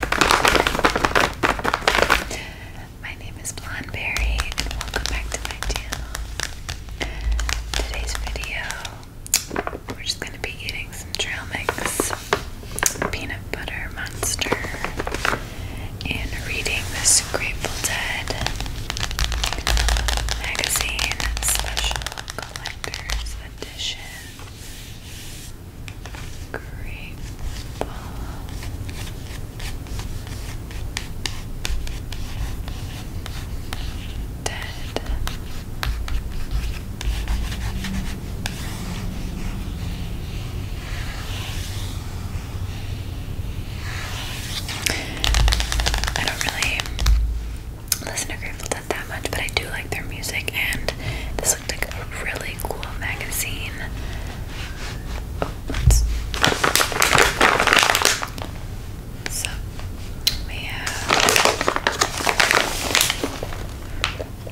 My name is Blondeberry and welcome back to my channel. Today's video, we're just gonna be eating some trail mix, peanut butter monster, and reading this Grateful Dead magazine special collector's edition. Great Dead. I don't really listen to Grateful Dead that much, but I do like their music, and this looked like a really cool magazine. So we have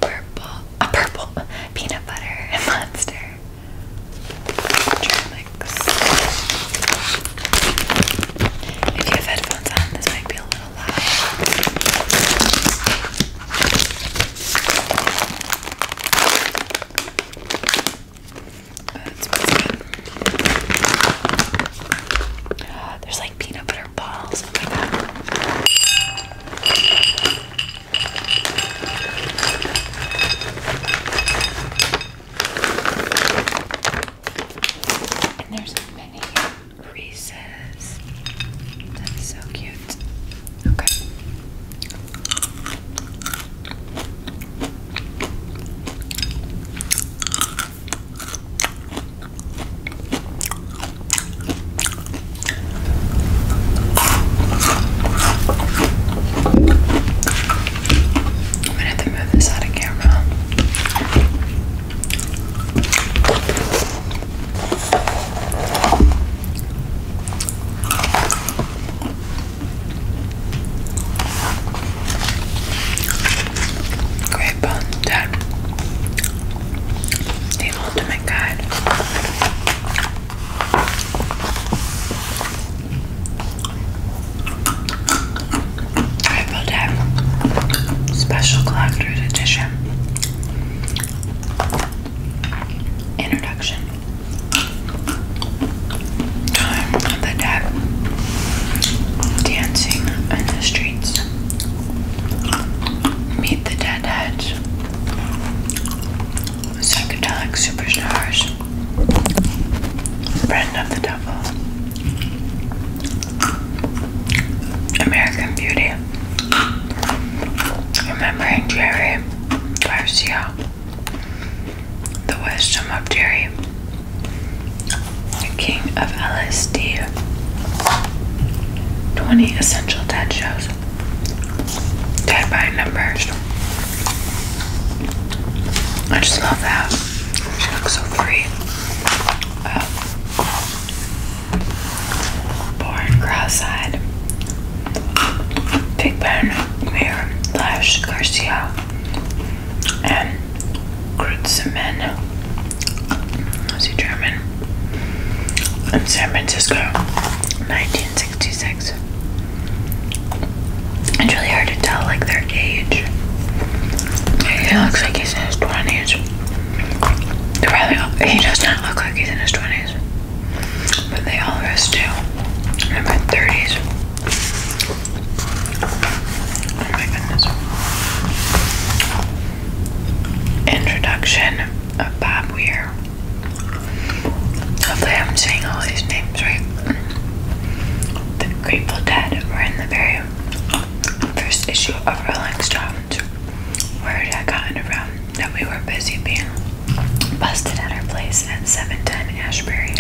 purple, a purple peanut butter and monster. If you have headphones on, this might be a little loud. There's like peanut butter balls. Oh my god. And there's many Reese's. That's so cute. Okay. I'm gonna have to move this out of camera. Great bun done. The ultimate guide. I built a special collector's edition introduction. Time of the dead dancing in the streets. Meet the deadheads. Psychedelic superstars. Friend of the devil. American Beauty. Remembering Jerry Garcia, the wisdom of Jerry, the king of LSD, 20 essential dead shows, dead by numbers. I just love that. She looks so free. Um, Born cross-eyed. Pigpen, Mir, Lash, Garcia, and Kreutzmann. Was he German? In San Francisco, 1966. It's really hard to tell, like, their age. He looks like he's in his 20s. he does not look like he's in his 20s but they all rest too. I'm 30s. Oh my goodness. Introduction of Bob Weir. Hopefully, I'm saying all these names right. The Grateful Dead were in the very first issue of Rolling Stones. Where had I gotten around? that we were busy being busted at her place at 710 in Ashbury.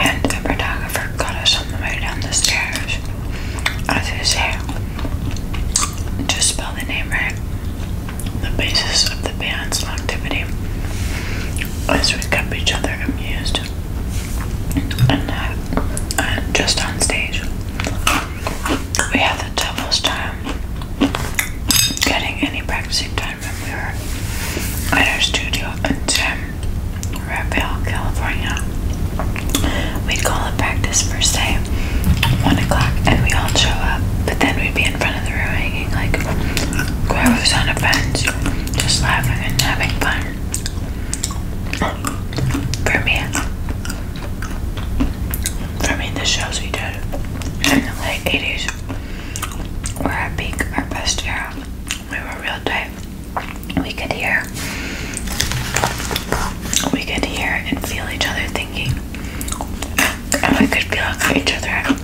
And the photographer got us on the way down the stairs. As I say, just spell the name right. The basis of the band's longevity is we kept each other amused and uh, just on stage we had the devil's time getting any practicing time when we were at our studio in San Rafael, California. We'd call it practice first day, one o'clock, and we all show up. But then we'd be in front of the room hanging like whoever's on a fence, just laughing and having fun. For me, I mean, the shows we did in the late 80s were our peak, our best era. We were real tight. We could hear, we could hear and feel each other thinking, and we could feel each other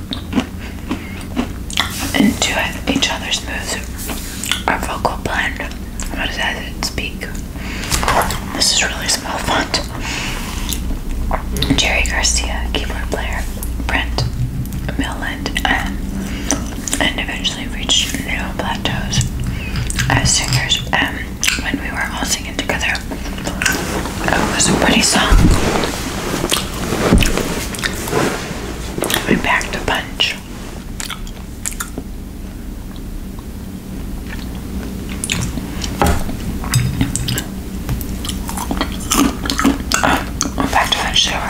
into it, each other's moves, our vocal blend. I'm going speak. This is really small font. Jerry Garcia, keyboard player, Brent Milland, and, uh, and eventually reach new plateaus as singers. Um, when we were all singing together, it was a pretty song. We packed a bunch. In fact, eventually there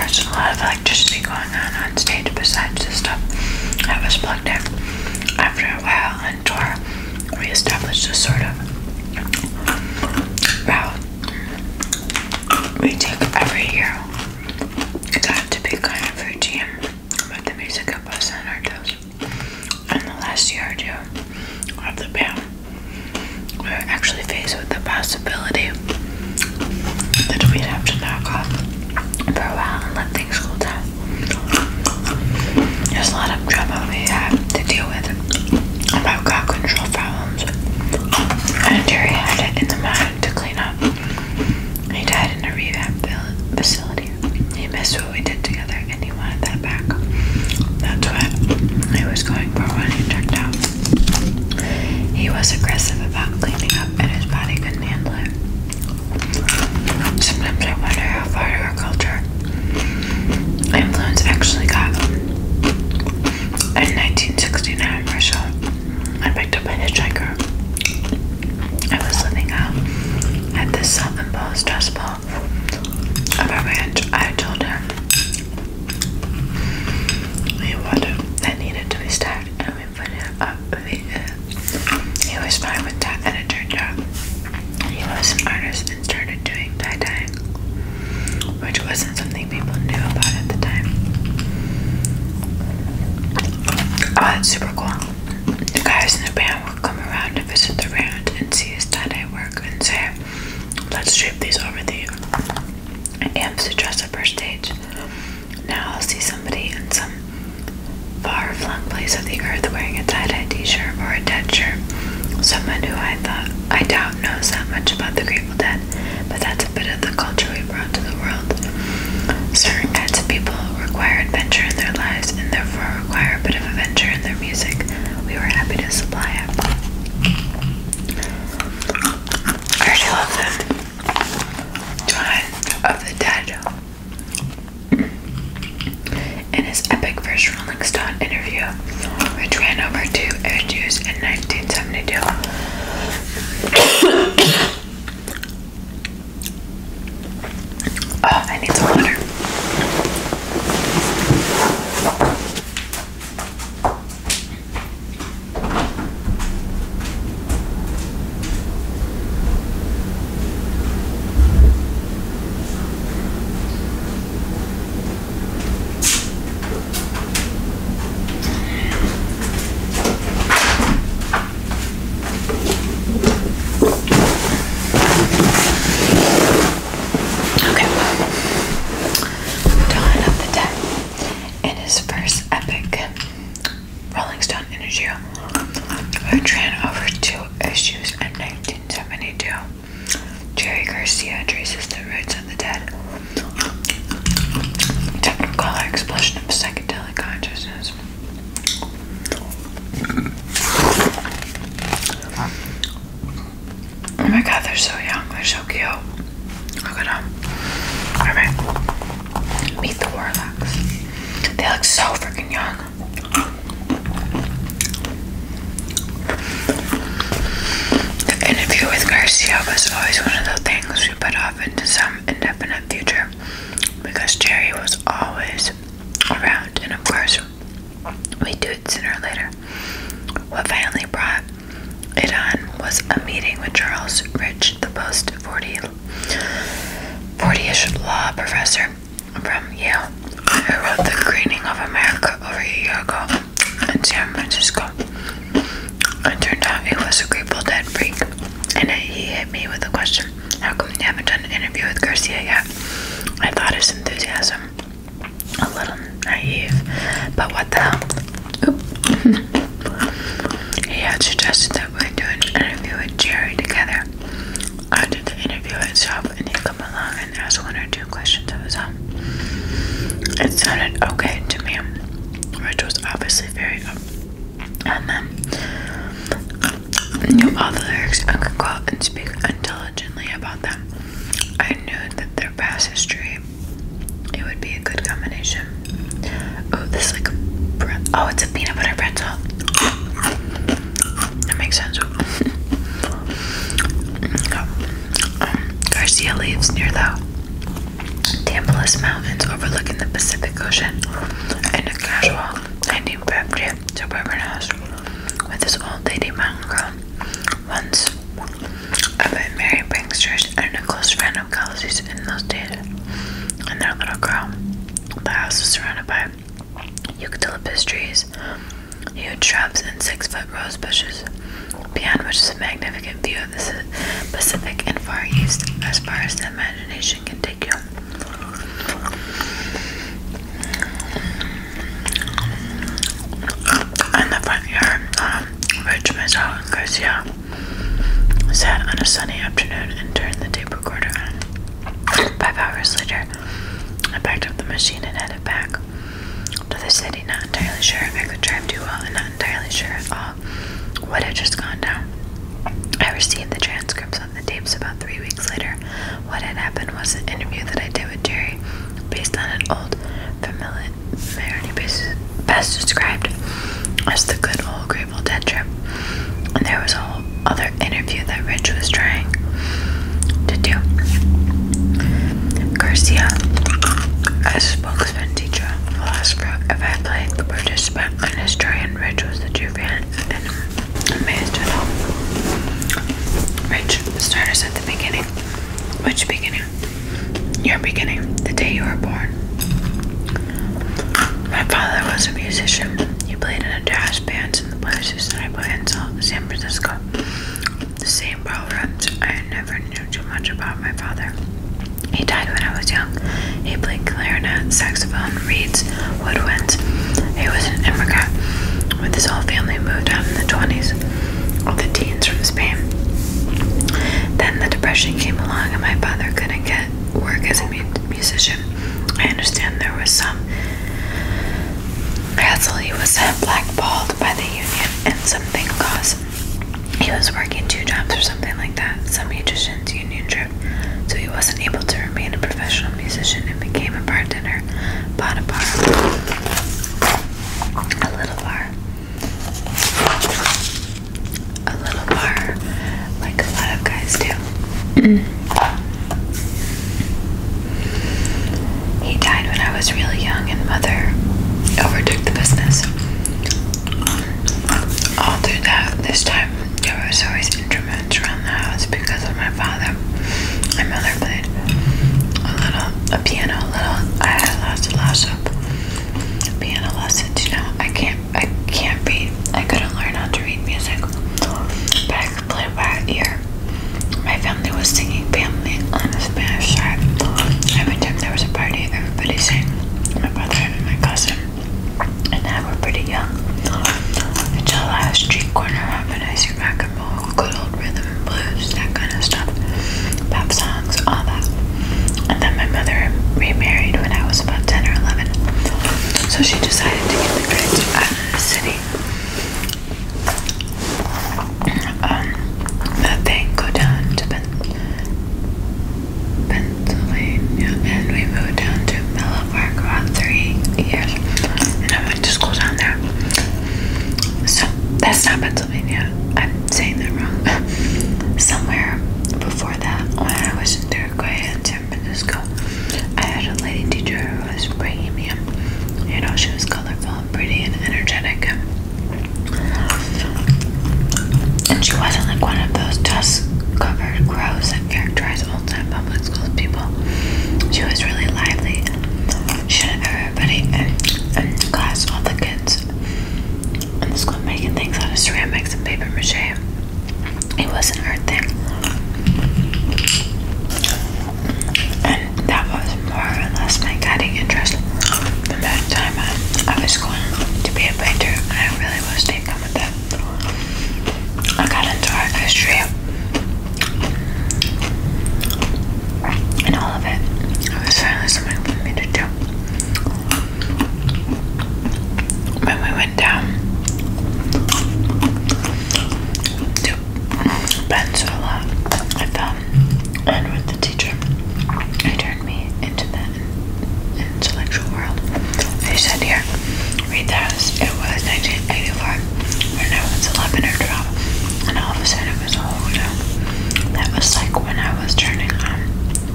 was a lot of electricity going on on stage besides the stuff that was plugged in. After a while, on tour, we established a sort of route we took every year. It got to be kind of routine, but the music kept us on our toes in the last year or two of the band, we were actually faced with the possibility that we'd have to knock off for a while and let things cool down. There's a lot of trouble we have to deal with about crowd control problems, and Jerry had it in the mind to clean up. He died in a rehab facility. He missed what we did together and he wanted that back. That's what I was going for when he checked out. He was aggressive about cleaning up and his body couldn't handle it. Sometimes I wonder how far our culture influence actually got. In 1969, Russia, I picked up a hitchhiker. I was living out um, at the self-imposed stress ball of a ranch. I told him he water that needed to be stacked, and we put it up. Uh, he was fine with that, and it turned out he was an artist and started doing tie dye, which wasn't something people knew about at the time. Oh, that's super cool. The guys in a band will come around and visit the round and see his tie-dye work and say, let's drape these over the amps to dress up our stage. Now I'll see somebody in some far-flung place of the earth wearing a tie-dye t-shirt or a dead shirt. Someone who I thought I doubt knows that much about the Grateful Dead, but that's a bit of the culture we brought to the world. Certain kinds of people require adventure in their lives, and therefore require a bit of adventure in their music, we were happy to supply it. I already love them. Dawn of the Dead. In his epic first Rolling Stone interview, which ran over two issues in 1972, Oh, I need some water. Okay, Dawn of the Dead in his first epic, Rolling Stone Energy, ran over two issues in 1972. Jerry Garcia traces the roots of the dead. Technicolor explosion of psychedelic consciousness Oh my god, they're so young. They're so cute. Look at them. Alright. Meet the Warlocks. They look so freaking young. The interview with Garcia was always one of the things we put off into some indefinite future because Jerry was always around, and of course, we do it sooner or later. What finally brought it on was a meeting with Charles Rich, the post 40 40-ish law professor from Yale, who wrote The Greening of America over a year ago in San Francisco. It turned out he was a old dead freak, and he hit me with a question. How come you haven't done an interview with Garcia yet? I thought his enthusiasm a little naive, but what the hell? he had suggested that we do an interview with Jerry together. I did the interview itself, and he'd come along and ask one or two questions of his own. It sounded okay to me, which was obviously very up um, knew all the lyrics I could quote and speak intelligently about them. I knew that their past history, it would be a good combination. Oh, this like bread. Oh, it's a peanut butter pretzel. That makes sense. Oh, um, Garcia lives near the Tampilas Mountains overlooking the Pacific Ocean in a casual 1950 House, with this old lady manga once a bit Mary Pinksters and a close friend of Kelsey's in those days and their little girl. The house is surrounded by eucalyptus trees, huge shrubs, and six-foot rose bushes, beyond which is a magnificent view of the Pacific and Far East as far as the imagination can take. In um, the front yard, um, Rich, Garcia sat on a sunny afternoon and turned the tape recorder on. Five hours later, I packed up the machine and headed back to the city, not entirely sure I could drive too well and not entirely sure at all what had just gone down. I received the transcripts the tapes about three weeks later. What had happened was an interview that I did with Jerry based on an old familiarity basis, best described as the good old Grateful Dead trip. And there was a whole other interview that Rich was trying to do. Garcia, as spokesman teacher, will ask if I played the participant on his story, and Rich was the true fan. Amazed at all. Which start us at the beginning. Which beginning? Your beginning. The day you were born. My father was a musician. He played in a jazz band in the places that I played in San Francisco. The same problems. I never knew too much about my father. He died when I was young. He played clarinet, saxophone, reeds, Woodwinds. He was an immigrant with his whole family moved out in the 20s, or the teens from Spain. Then the Depression came along and my father couldn't get work as a musician. I understand there was some hassle. He was blackballed by the union and something caused. He was working two jobs or something like that. Some he union trip, so he wasn't able to remain a professional musician and became a bartender, bar, a little bar, a little bar, like a lot of guys do. he died when I was really young, and mother overtook the business. All through that, this time, there was always instruments around the house because of my father. My mother played a little, a piano, a little. I had lots and lots piano lessons. You know, I can't, I can't read. I couldn't learn how to read music, but I could play by ear. My family was singing family on the Spanish side. Every time there was a party, everybody sang. My brother and my cousin and I were pretty young. Until I was street corner humanizing rock and roll, good old rhythm and blues, that kind of stuff, pop songs, all that. And then my mother remarried when I was about 10 or 11. So she decided to get the kids out of the city. Um, that they go down to Pennsylvania, and we moved down to for about three years, and I went to school down there. So that's not Pennsylvania. I'm saying that wrong. Somewhere before that, when I was in Uruguay in San Francisco, I had a lady teacher who was bohemian. You know, she was colorful and pretty and energetic. And she wasn't like one of those dust covered crows characterize old time public school people. She was really lively. She had everybody in, class, all the kids in the school making things out of ceramics and paper mache. It wasn't her thing. And that was more or less my guiding interest. The bad time I was going to be a painter, I really was taken with that. I got into art history and all of it. I was finally something for me to do. When we went down to Pensacola, I fell in with the teacher. He turned me into the intellectual world. They said, Here, realized it was 1985 when I 11 or 12, and all of a sudden it was older. Oh, that was like when I was turning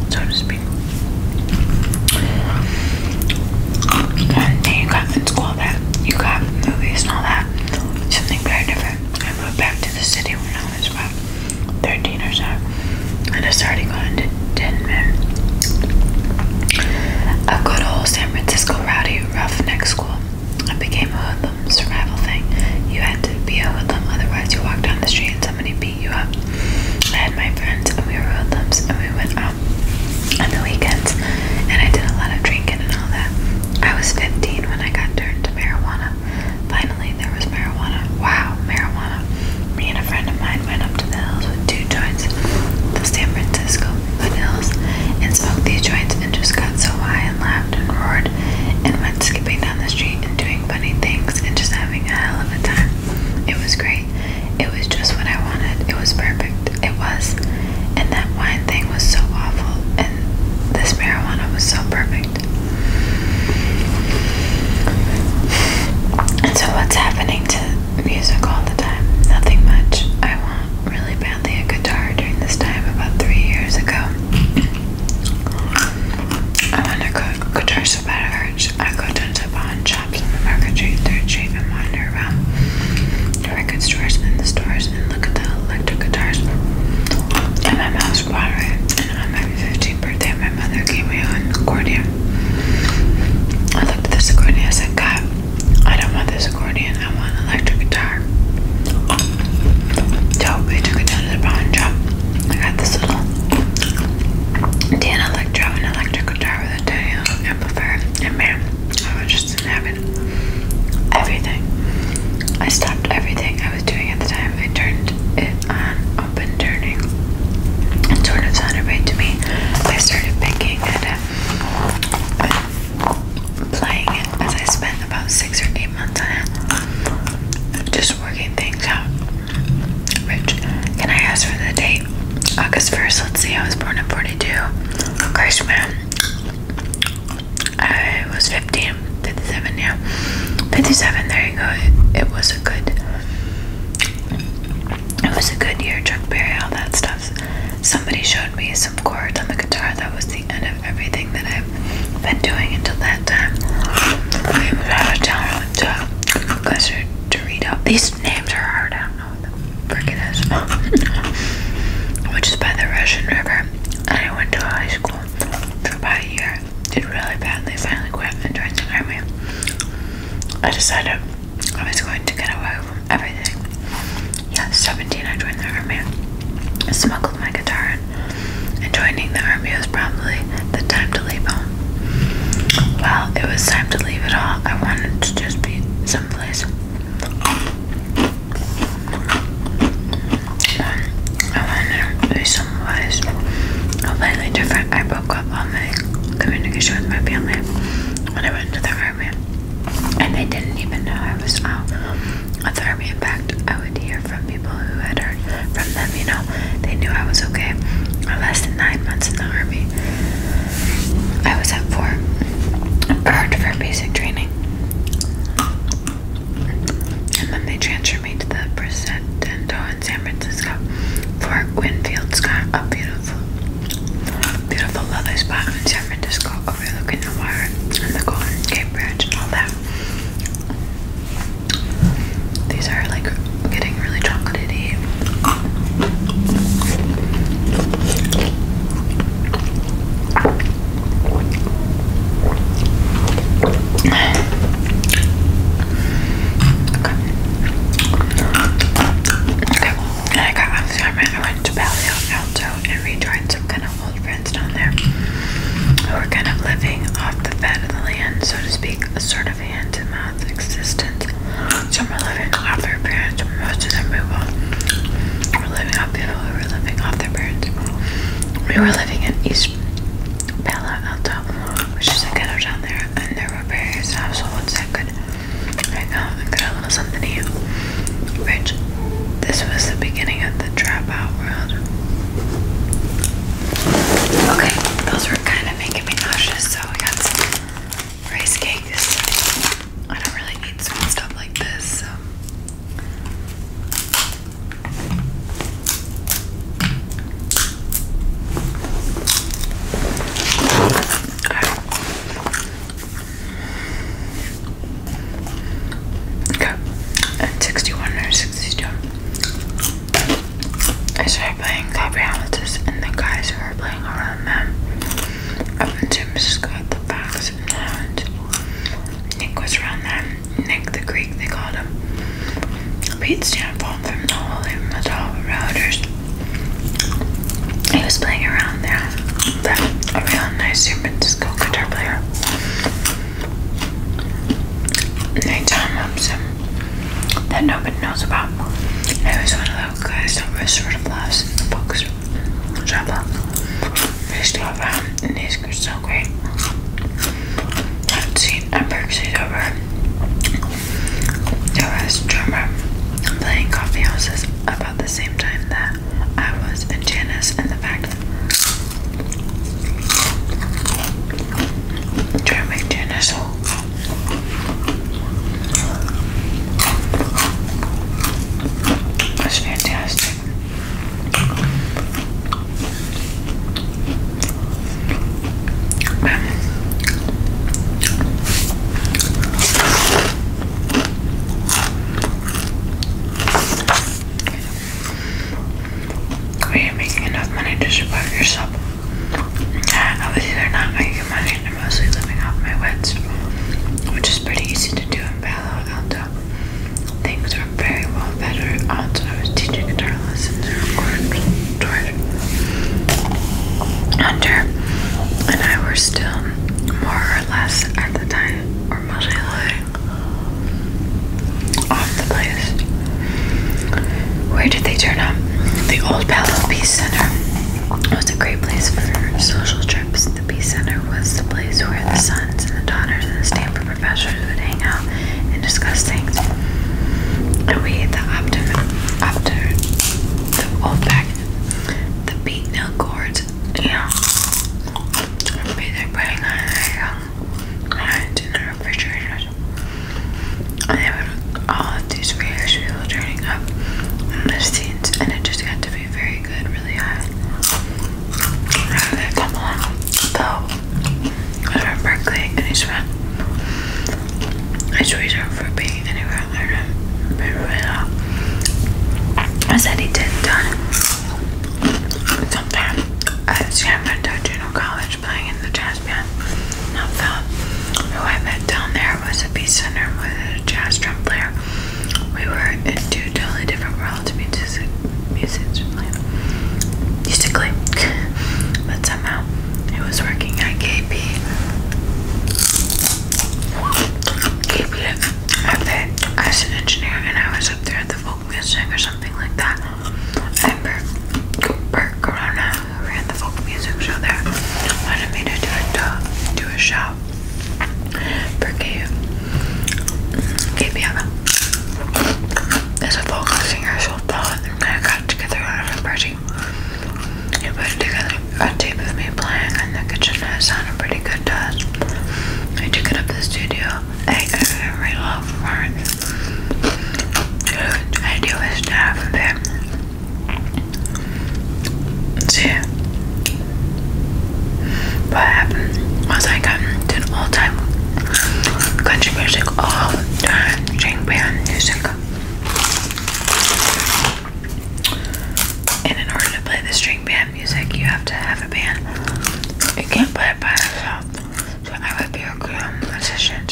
so to speak. One you got in school that you got movies and all that, something very different. I moved back to the city when I was about 13 or so, and I started going to a good old San Francisco rowdy roughneck school. It became a hoodlum survival thing. You had to be a hoodlum, otherwise you walked down the street and somebody beat you up. I had my friends and we were hoodlums and we went out on the weekends and I did a lot of drinking and all that. I was 15 when I got turned to marijuana. Finally, there was marijuana. Wow, marijuana. Me and a friend of mine night, went up to the hills with two joints, the San Francisco Hills, and smoked these joints and just got so high and laughed and roared and went skipping down the street and doing funny things and just having a hell of a time. It was great. It was just what I wanted. It was perfect. It was. And that wine thing was so awful. And this marijuana was so perfect. And so, what's happening to music all the time. Nothing much. I want really badly a guitar during this time about three years ago. I want a guitar so bad it hurts. I go to the pawn shops on the market street, third street, and wander around the record stores and the stores and look at the electric guitars. And my mom's watering. And on my 15th birthday, my mother gave me a accordion. I looked at this accordion. I said, God, I don't want this accordion, I want electric guitar. So we took it down to the pawn shop. I got this little Dan Electro and electric guitar with a tail amplifier. And man, I was just in heaven. Everything. I stopped everything I was doing at the time. I turned it on, and turning. It sort of to me. I started picking at it playing it as I spent about six or eight months on it. Just working things out. Rich, can I ask for the date? August 1st, let's see, I was born in 42. Christ, man. I was 15, 57, yeah. 57, there you go. it was a good, it was a good year, Chuck Berry, all that stuff. Somebody showed me some chords on the guitar. That was the end of everything that I've been doing until that time. I was out of town. I went to These names are hard. I don't know what the frick it is. Which is by the Russian River. I went to high school for about a year. Did really badly. Finally quit joined the army. I decided I was going to get away from everything. Yeah, 17 I joined the army. I smuggled my guitar And joining the army was probably the time to leave home. Well, it was time to leave it all. I wanted to just be someplace. I wanted to be someplace completely different. I broke up all my communication with my family when I I the army, and they didn't even know I was out of the army. In fact, I would hear from people who had heard from them, you know, they knew I was okay. I lasted nine months in the army. I was at Fort Earned for basic training. And then they transferred me to the Presidento in San Francisco. Fort Winfield Scott, a beautiful Beautiful leather spot in San Francisco overlooking the water and the Golden Gate Bridge all that. These are like getting really chocolatey. Okay. Okay, I got off I went to Palio Alto and rejoined some kind of old friends down there who were kind of living off the fat of the land, so to speak, a sort of hand to mouth existence. So Some were living off their parents, most of them people were living off people who were living off their parents. We were living in East Palo Alto, which is a ghetto down there, and there were various households that could I got, I got a little something here. Rich, this was the beginning of the trap world. Okay, those were kind of making me nauseous, so I got some rice cakes. I don't really need sweet stuff like this, so. Okay, and 61 or 62. I started playing copy analysis, and the guys who were playing around them up in to Francisco at the Fox and Nick was around them. Nick the Greek, they called him. Pete Stanford from the Holy Metal he was playing around there. But a real nice San guitar player. And I Tom Hobson that nobody knows about. He was one of those guys that was sort of lost in the books. Trouble. They still around and he's so great. That scene at over. I was drummer playing coffee houses about the same time that I was in Janice and the fact that trying to make fantastic. Um, are oh, you making enough money to support yourself? Uh, obviously, they're not making money. They're mostly living off my wits, which is pretty easy to do in Palo Alto. Things were very well better. Also, I was teaching guitar lessons and recording under and I were still more or less at the time or off the place. Where did they turn up? The old Palo Peace Center was a great place for social trips. The Peace Center was the place where the sons and the daughters and the Stanford professors would hang out and discuss things. And we ate the optimum, optimum, the old back the beat now Yeah. I'll putting on um, in the refrigerator. And there all these various people turning up in the scenes, and it just got to be very good, really high. I had a couple of though, I was from Berkeley, and he's it's reserved for being anywhere I said he did done sometime at Stanford Doctrinal College playing in the jazz band. Now Phil, who I met down there, was a beat singer with a jazz drum player. We were in two totally different worlds music musically. Musically. but somehow he was working at KP keep it at that as an engineer and I was up there at the folk music or something like that. And Bert, Corona who ran the folk music show there wanted me to do a do a show for Gabe. Gabe a folk singer, so I got together at a you put together a tape of me playing in the kitchen it sounded pretty good to I took it up the studio. I got very love for I do with staff and See? What happened was I got into all time country music all time, jing band music. And in order to play the string band music, you have to have a band. You can't play it by yourself. So I would be a musician.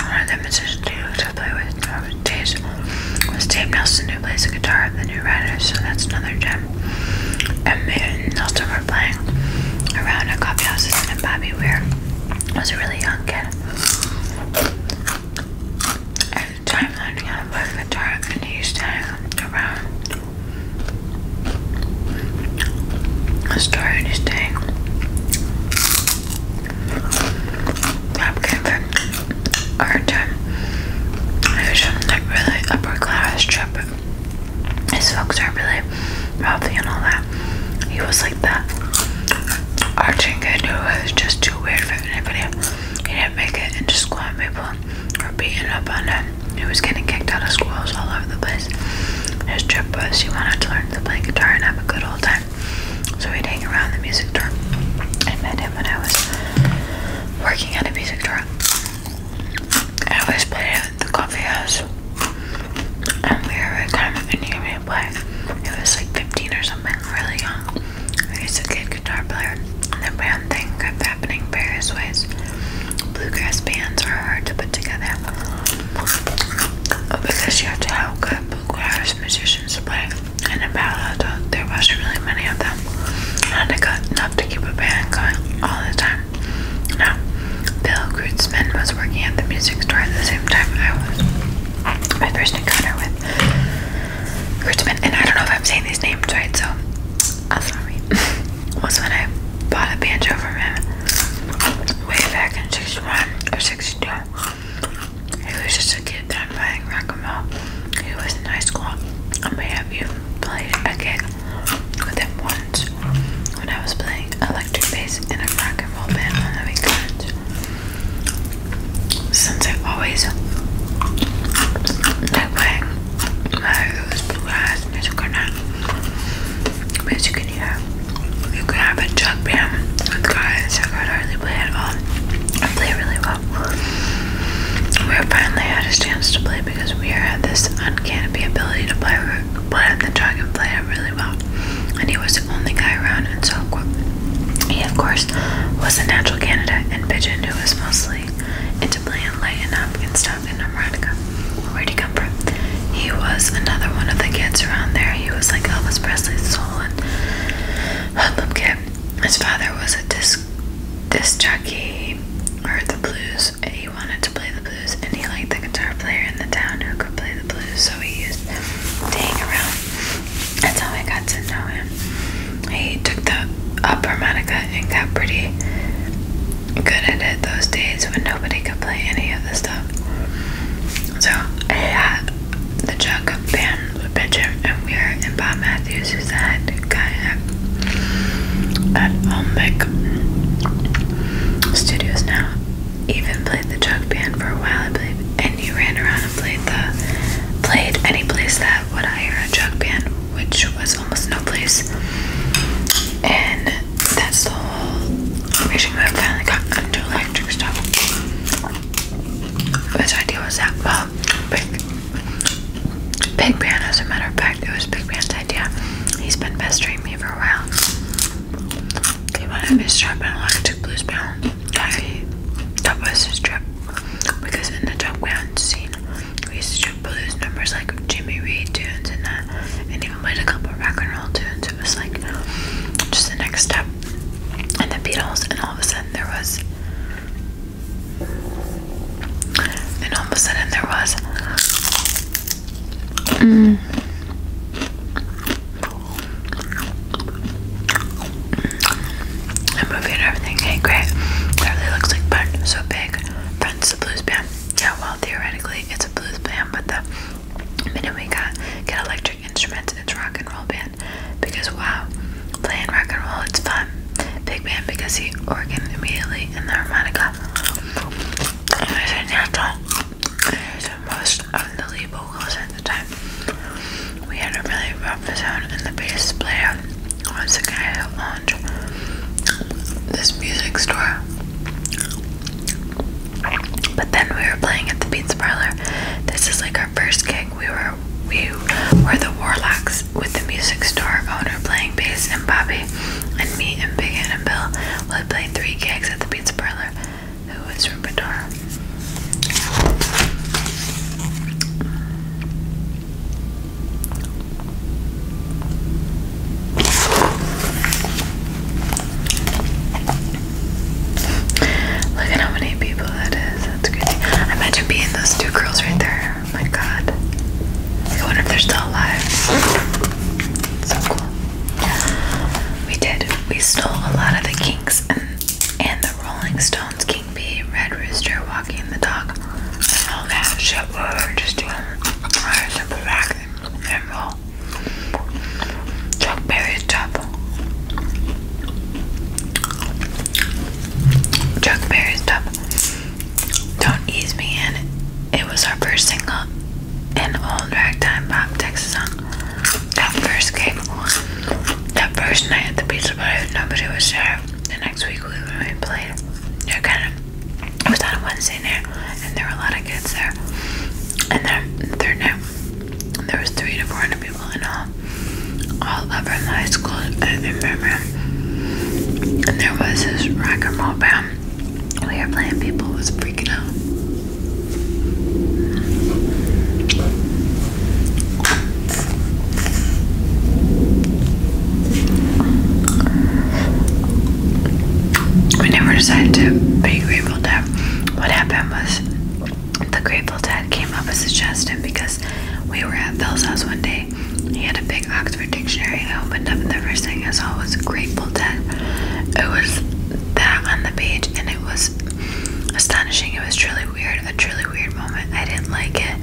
One of the musicians I to play with was, uh, was Dave Nelson, who plays the guitar the New Riders. So that's another gem. And me and Nelson were playing around at coffee houses, and Bobby Weir was a really young kid time learning how to the dark, and he's stayed around the store and he's staying up given our time. It was from like really upper class trip. His folks are really wealthy and all that. He was like that. Our Arching kid who was just too weird for anybody. He didn't make it into school, and people were beating up on him. He was getting kicked out of schools all over the place. His trip was he wanted to learn to play guitar and have a good old time. So we'd hang around the music store. I met him when I was working at a music store. I always played at the coffee house. And we were kind of in point, it was like 15 or something, really young. I used to kid guitar player. And the band thing kept happening various ways. Bluegrass bands are hard to put together because you have to have good bluegrass musicians to play. And in Palo Alto, there wasn't really many of them. And I got enough to keep a band going all the time. Now, Bill Grutzman was working at the music store at the same time I was. My first encounter with Richmond, and I don't know if I'm saying these names right, so I'm sorry. was when I bought a banjo from him way back in 61 or 62. He was just a kid that I'm playing rock and roll. He was in high school. I may have you played a gig with him once when I was playing electric bass in a rock and roll band on the weekend since I always like wearing those blue eyes and you can have but you can have you can have a jug band with guys I could hardly play at all I play really well we finally had a chance to play because we had this uncanny ability to play play on the jug and play it really well and he was the only guy around and so he of course was a natural Canada and Pigeon, who was mostly into playing lighting up and stuff in America. Where'd he come from? He was another one of the kids around there. He was like Elvis Presley's swollen hoodlum kid. His father was a disc, disc or the blues. And he wanted to play the blues, and he liked the guitar player in the town who could play the blues, so he used to hang around that's how I got to know him. He took the upper harmonica and got pretty good at it those days when nobody could play any of the stuff. So I had the Chuck band with Benjamin and Weir and Bob Matthews who's the head guy at, at Studios now. Even played the Chuck band for a while, I believe and you ran around and played the played any place that would hire a jug band, which was almost no place. And that's the whole reason why I finally got into electric stuff. Which idea was that? Well, big, big band, as a matter of fact, it was Big Band's idea. He's been pestering me for a while. He wanted me to electric blues band. I, that was his trip because in the top ground scene we used to do blues numbers like Jimmy Reed tunes and that and even played a couple of rock and roll tunes. It was like just the next step and the Beatles and all of a sudden there was and all of a sudden there was mm, I'm moving and everything. Hey, great. That really looks like fun. So big. Friends, a blues band. Yeah, well, theoretically, it's a blues band, but the minute we got get electric instruments, it's rock and roll band. Because wow, playing rock and roll, it's fun. Big band because he organ immediately and the harmonica. It's a natural. It's the most unbelievable vocals at the time. We had a really rough sound and the bass player once again owned this music store. But then we were playing at the Beats Parlor. This is like our first gig. We were we were the Warlocks with the music store owner playing bass and Bobby and me and Big Ann and Bill would play three gigs at the Beats Parlor who is Rupitar. Look at how many people that is. That's crazy. Imagine being those two girls right there. Oh my god. I wonder if they're still alive. So cool. We did. We stole a lot of the kinks and and the Rolling Stones, King Bee, Red Rooster, Walking the Dog, all that shit we back and Chuck Berry's top. Chuck Berry's top. Don't Ease Me In. It was our first single, an old ragtime pop Texas song that first came that first night at the pizza bar, nobody was there. The next week we when we played, they kind of it was on a Wednesday night, and there were a lot of kids there. And then the third night, there was three to four hundred people in all, all over the high school. I remember, and there was this rock and roll band. We were playing, people was freaking out. We never decided to be Grateful Dead. What happened was the Grateful Dead came up with a suggestion because we were at Phil's house one day. He had a big Oxford dictionary. I opened up and the first thing I saw was Grateful Dead. It was that on the page and it was astonishing. It was truly weird a truly weird moment. I didn't like it.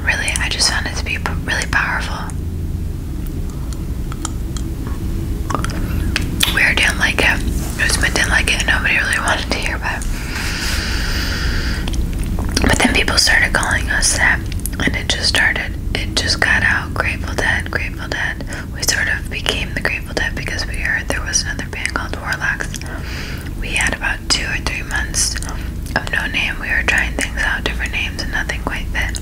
Really, I just found it to be really powerful. Weird, didn't like it. Usman didn't like it, nobody really wanted to hear about it. But then people started calling us that, and it just started. It just got out. Grateful Dead, Grateful Dead. We sort of became the Grateful Dead because we heard there was another band called Warlocks. We had about two or three months of no name. We were trying things out, different names, and nothing quite fit.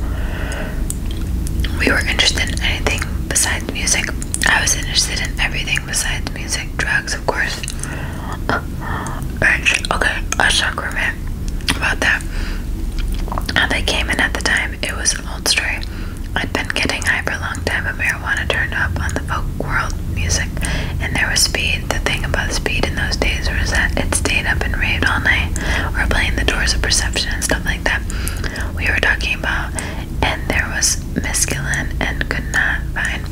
We were interested in anything besides music. I was interested in everything besides music, drugs, of course. Uh, okay, a shocker, About that, they came in at the time, it was an old story. I'd been getting high for a long time, but marijuana turned up on the folk world music, and there was speed. The thing about speed in those days was that it stayed up and raved all night, or playing the doors of perception and stuff like that. We were talking about, and there was mescaline, and could not find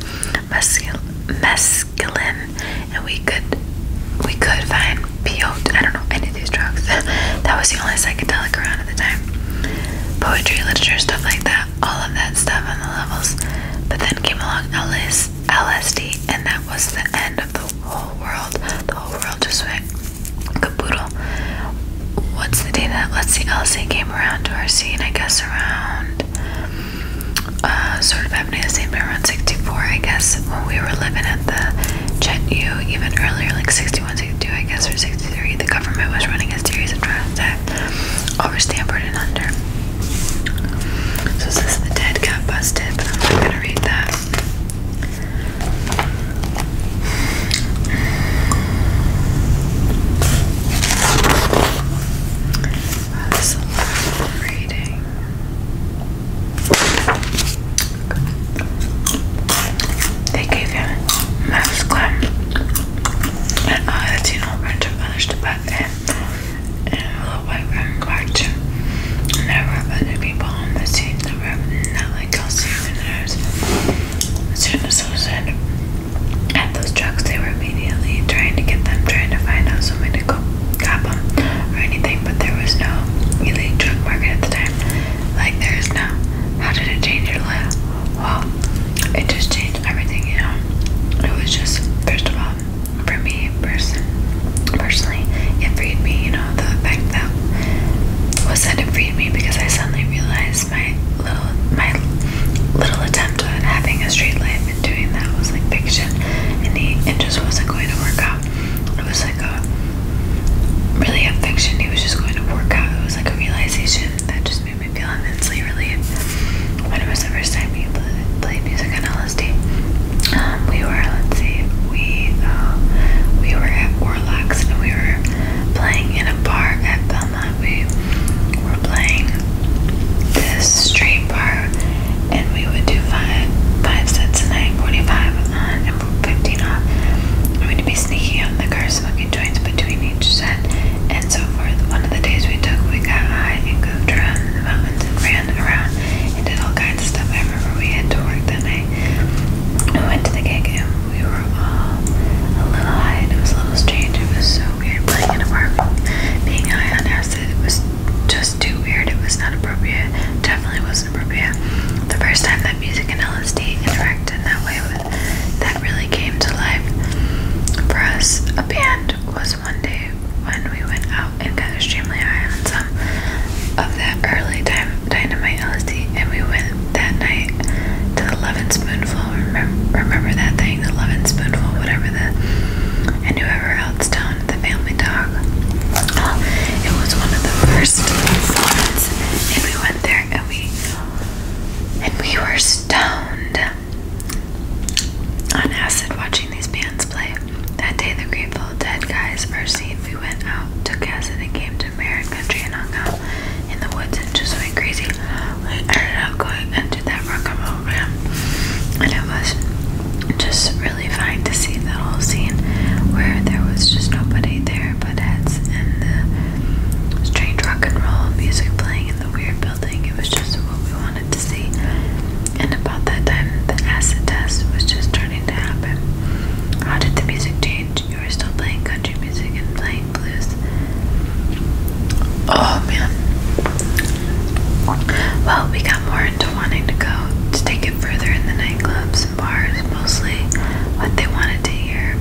mescal mescaline, and we could we could find peyote. I don't know any of these drugs. that was the only psychedelic around at the time. Poetry, literature, stuff like that all of that stuff on the levels. But then came along LSD, and that was the end of the whole world. The whole world just went kaboodle. What's the day that let's see LSD came around to our scene? I guess around uh, sort of happening the same time around 64, I guess, when we were living at the Chet U, even earlier, like 61, 62, I guess, or 63 the government was running a series of trials that over Stanford and under. So it the dead got busted, I'm gonna read that. They gave him a mouse and I had seen all friends who finished the back end a little white room cartoon. And there were other people on the scene that were not like us and hers. As soon as those ended at those trucks, they were immediately trying to get them, trying to find out somebody to go grab them or anything, but there was no elite drug market at the time. Like there is now. How did it change your life? Wow, it just changed everything, you know. It was just, first of all, for me person, personally, it freed me, you know, the fact that was that it freed me because I suddenly realized my little my little attempt at having a straight life and doing that was like fiction and he it just wasn't going to work out. It was like a really a fiction, It was just going to work out. It was like a realization that just just made me feel immensely relieved. When it was the first time we played music on LSD, um, we were, let's see, we, uh, we were at Warlocks and we were playing in a bar at Belmont. We were playing this street bar and we would do five, five sets a night, 45 and 15 off. I mean, to be sneaky on the cars, looking joints between each set, and so forth. One of the days we took, we got high and goofed around in the mountains and ran around and did all kinds of stuff. I remember we had to work that night. We went to the gig and we were all a little high, and it was a little strange. It was so weird playing in a park, being high on acid. It was just too weird. It was not appropriate. Definitely wasn't appropriate. The first time that music and LSD interacted in that way with that it really came to life for us. A band was one day when we went out and got extremely high on some of that early time dynamite LSD, and we went that night to the Levin Spoonful. Remember, that thing, the Levin Spoonful, whatever the and whoever else down at the family dog. Oh, it was one of the first ones, and we went there and we and we were stoned on acid watching these bands play. That day, the Grateful Dead guys were seen. We went out, took acid, and came to Marin Country and hung out in the woods and just went crazy. We ended up going and did that rock and roll band, and it was just really fine to see that whole scene where there was just nobody there but heads and the strange rock and roll music playing the weird building. It was just what we wanted to see. And about that time, the acid test was just starting to happen. How did the music change? You were still playing country music and playing blues. Oh man. Well, we got more into wanting to go to take it further in the nightclubs and bars, mostly what they wanted to hear.